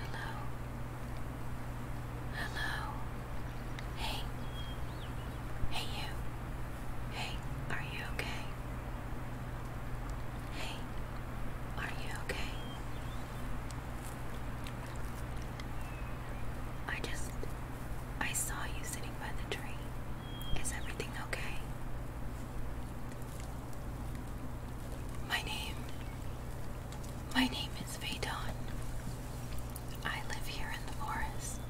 Hello. Hello. Hey. Hey, you. Hey, are you okay? Hey, are you okay? I just. I saw you sitting by the tree. Is everything okay? My name. My name is Vadon. I live here in the forest.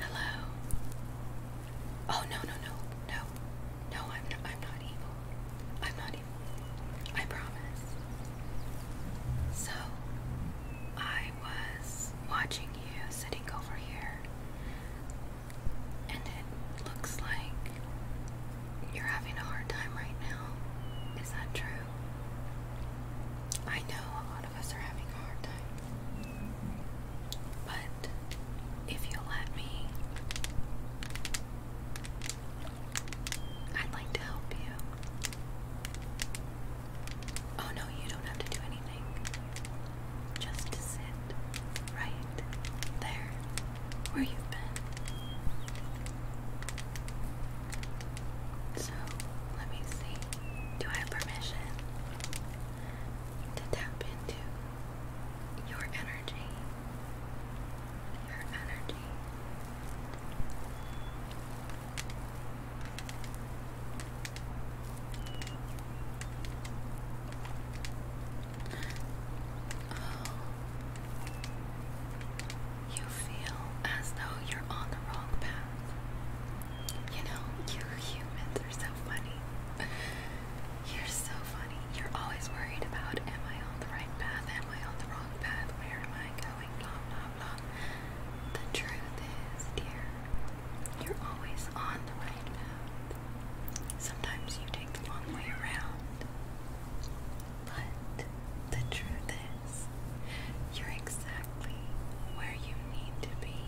Hello. Oh no no no no no I'm not I'm not evil. I'm not evil. I promise. So I was watching you sitting over here and it looks like you're having a hard time right now. Is that true? I know a lot of us are having a hard time. But if you'll let me, I'd like to help you. Oh no, you don't have to do anything just to sit right there where you've been. So let me see. Do I have permission to tap into your energy? Your energy. Oh. You feel as though you're on the wrong path. You know, you humans are so funny. You're so funny. You're always worried about am I on the right path? Am I on the wrong path? Where am I going? Blah, blah, blah. The truth is, dear, you're always on the right path. Sometimes you take the long way around. But the truth is, you're exactly where you need to be.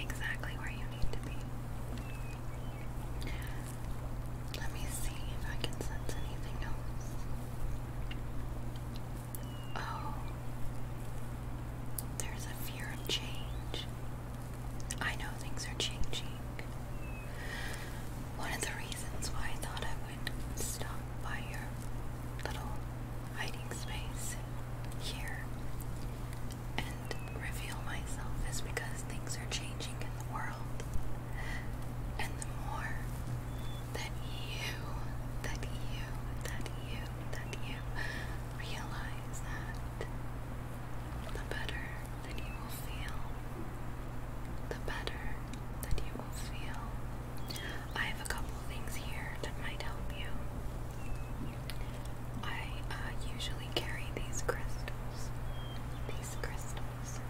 Exactly where you need to be. Let me see if I can sense anything else. Oh, there's a fear of change. I know things are changing. One of the reasons why I thought I would stop by your little hiding space here and reveal myself is because things are changing in the world. And the more that you, that you, that you, that you realize that the better that you will feel, the better that you will feel. I have a couple things here that might help you. I uh, usually carry these crystals. These crystals.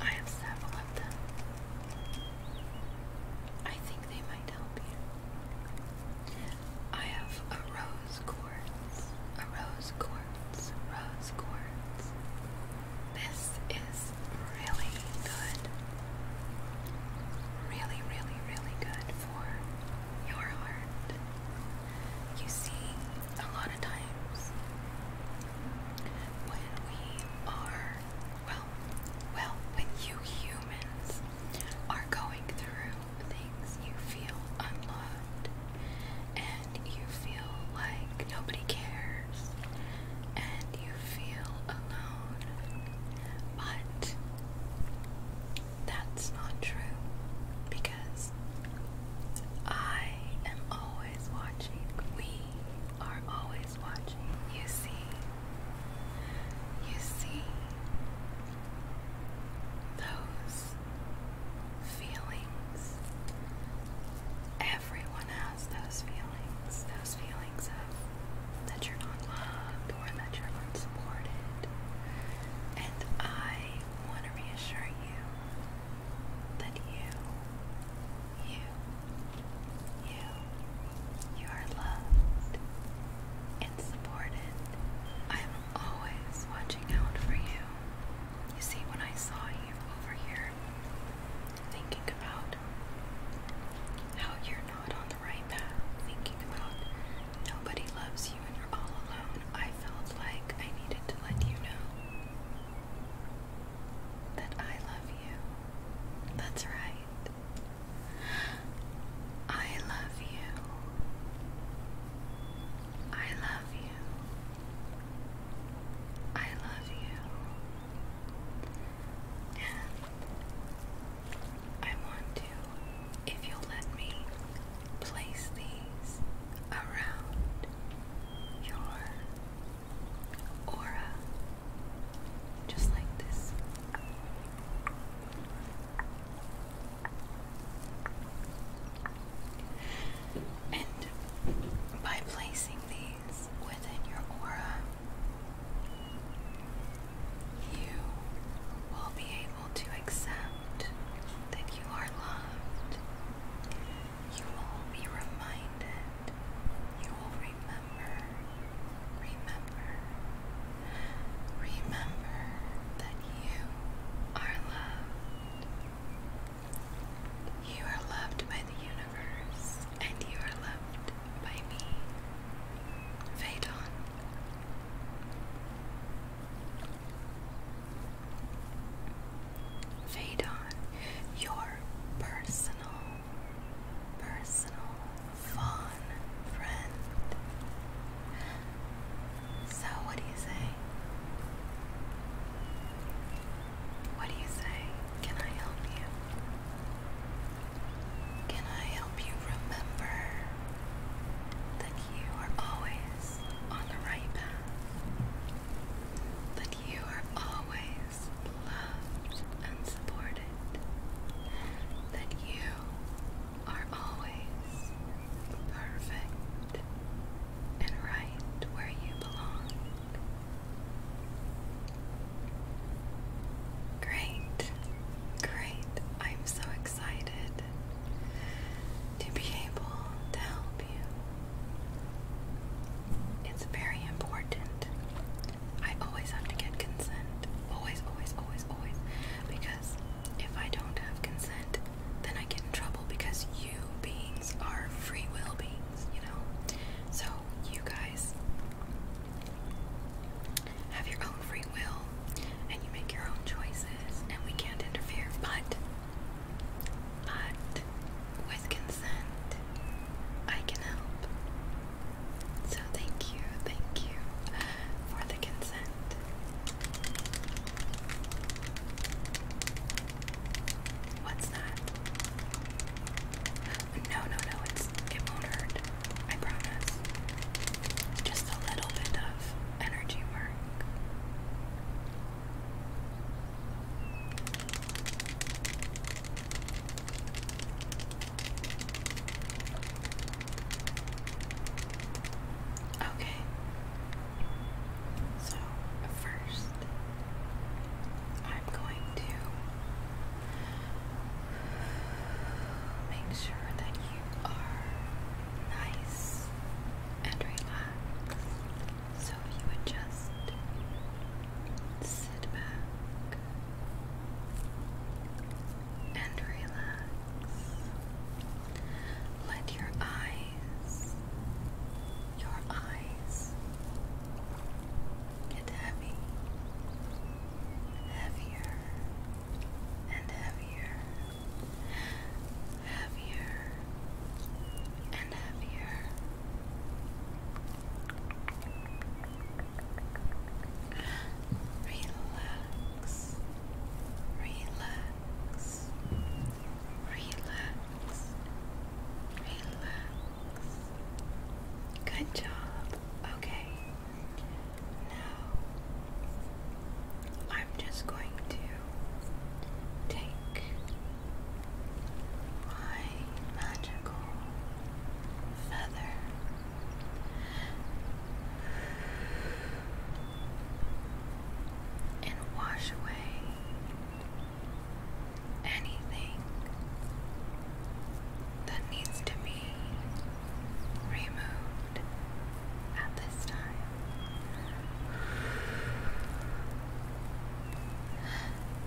I have several of them. I think they might help you. I have a rose quartz, a rose quartz, rose quartz. This is really good. Really, really, really good for your heart. You see, a lot of times when we are well, well, when you humans are going through things, you feel unloved and you feel like nobody cares and you feel alone. But that's not true because I am always watching. We are always watching. You see, you see those feelings. Everyone has those feelings. Those feelings of that you're not loved or that you're unsupported. And I want to reassure you that you, you, you, you are loved and supported. I'm always watching out for you. You see, when I saw you over here, thinking about how you're not on the right path, thinking about nobody loves you and you're all alone, I felt like I needed to let you know that I love you. That's right. I love you. I love you. I love you. And I want to, if you'll let me, place these around your aura, just like this. And by placing these within your aura, you will be able to accept that you are loved. You will be reminded, you will remember remember, remember, remember that you are loved. You are loved by the universe, and you are loved by me. Phaedon. Phaedon, your personal personal fawn friend. So, what do you say? What do you say? Can I help you? Can I help you remember that you are always on the right path? That you are always loved and supported, that you are always perfect and right where you belong. Great, great. I'm so excited to be able to help you. It's very important I always have to get consent. Always, always, always, always. Because if I don't have consent, then I get in trouble because you beings are free will beings, you know? So, you guys have your own free will and you make your own choices, and we can't interfere, but. But with consent, I can help. So thank you, thank you for the consent. What's that? No, no, no, it's it will I promise. Just a little bit of energy work. Okay. So, first, I'm going to make sure that you are nice and relaxed. So, you adjust sit back and relax. Let your eyes, your eyes get heavy, heavier and heavier, heavier and heavier. Relax, relax, relax, relax. Good job. Okay. Now I'm just going to take my magic and wash away anything that needs to be removed at this time.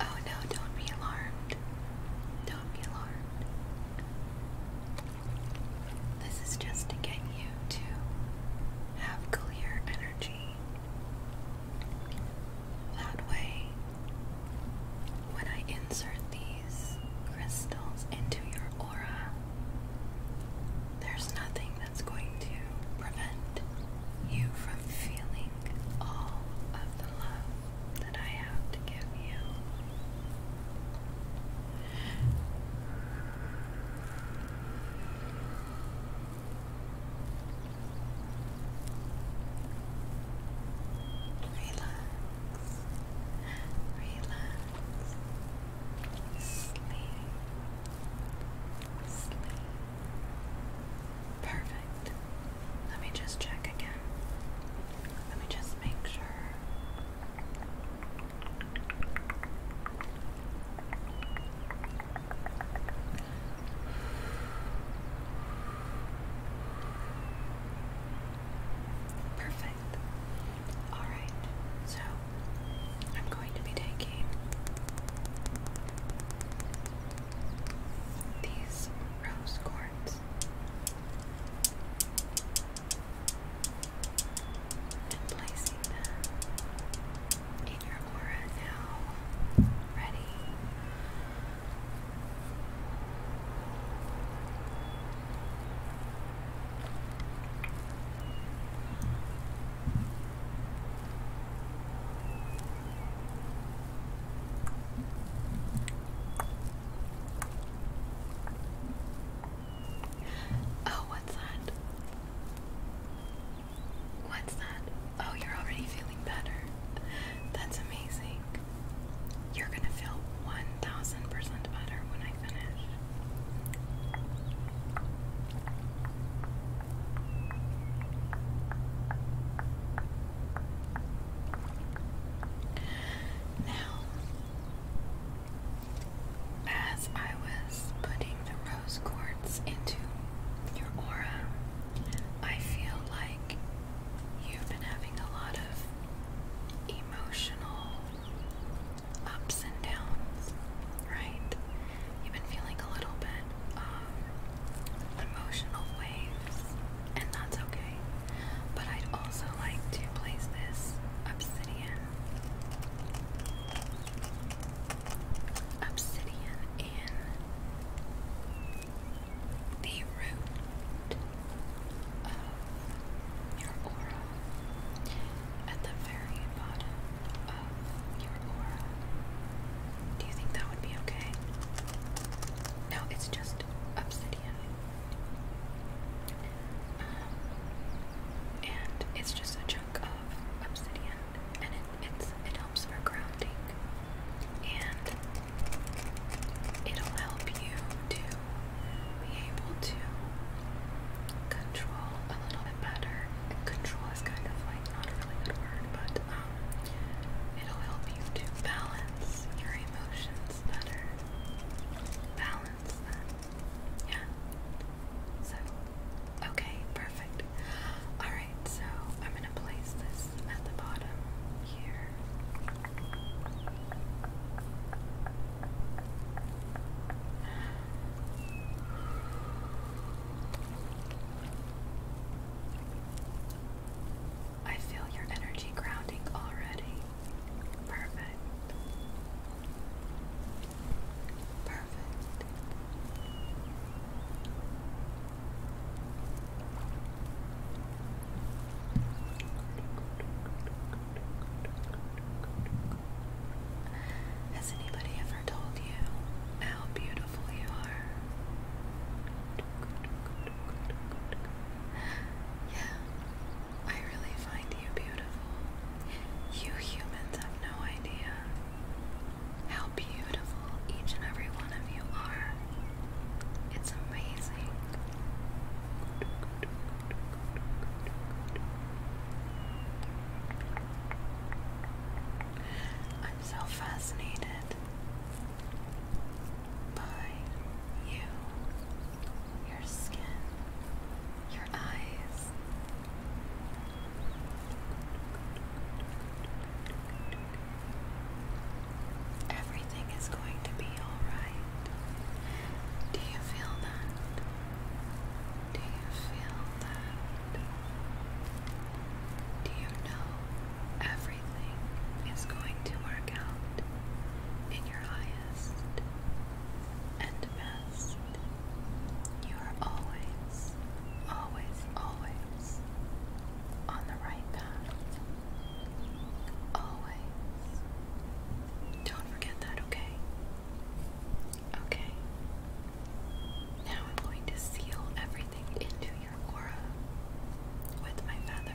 Oh no, don't be alarmed. Don't be alarmed. This is just to get you to have clear energy. That way, when I insert these crystals into your aura, there's nothing that's going to prevent you from feeling all of the love that I have to give you. Relax, relax, sleep, sleep. Perfect. Let me just check again. Let me just make sure. Perfect. All right. So I'm going to be taking these rose quartz and placing them in your aura now. Ready? Oh, what's that? What's that? Oh, you're already feeling better. That's amazing. You're gonna feel 1000% better when I finish. Now, as I was putting the rose quartz into your aura, I feel like you've been having a lot of emotional ups and downs, right? You've been feeling a little bit um, emotional waves, and that's okay. But I'd also like to place this obsidian, obsidian in the root of your aura at the very bottom of your aura. Do you think that would be okay? No, it's just obsidian. Um, and it's just a chunk of obsidian, and it it helps for grounding, and it'll help you to be able to control a little bit better control is kind of like not a really good word, but um, it'll help you to balance your emotions better. Balance them. Yeah. So, okay, perfect. Alright, so I'm gonna place this at the bottom here. I feel your energy grounding already. Perfect. Perfect. Has anybody ever told you how beautiful you are? Yeah, I really find you beautiful. You humans have no idea how beautiful each and every one of you are. It's amazing. I'm so fascinated by you, your skin, your eyes. Everything is going to be alright. Do you feel that? Do you feel that? Do you know everything is going to work out in your highest and best? You are always, always, always on the right path. Always. Don't forget that, okay? Okay. Now I'm going to seal everything into your aura with my feather.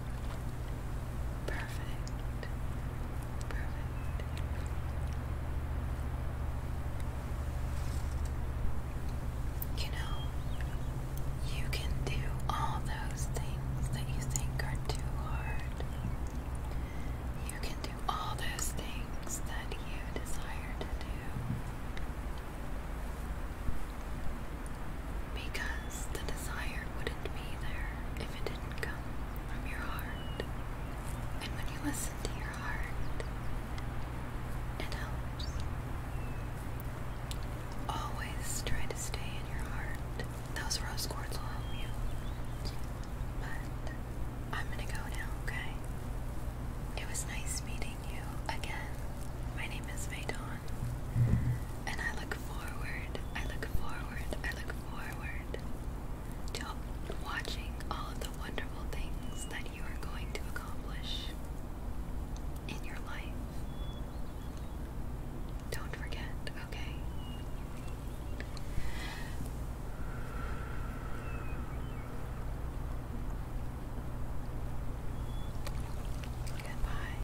Perfect. Perfect. You know, you can do all those things that you think are too hard. You can do all those things that you desire to do. Because the desire wouldn't be there if it didn't come from your heart. And when you listen to your heart, it helps. Always try to stay in your heart. Those rose quartz will help you. But I'm gonna go now, okay? It was nice meeting you again. My name is Maidon and I look forward, I look forward, I look forward to watching all of the wonderful things that you are going to accomplish in your life. Don't forget, okay? Goodbye.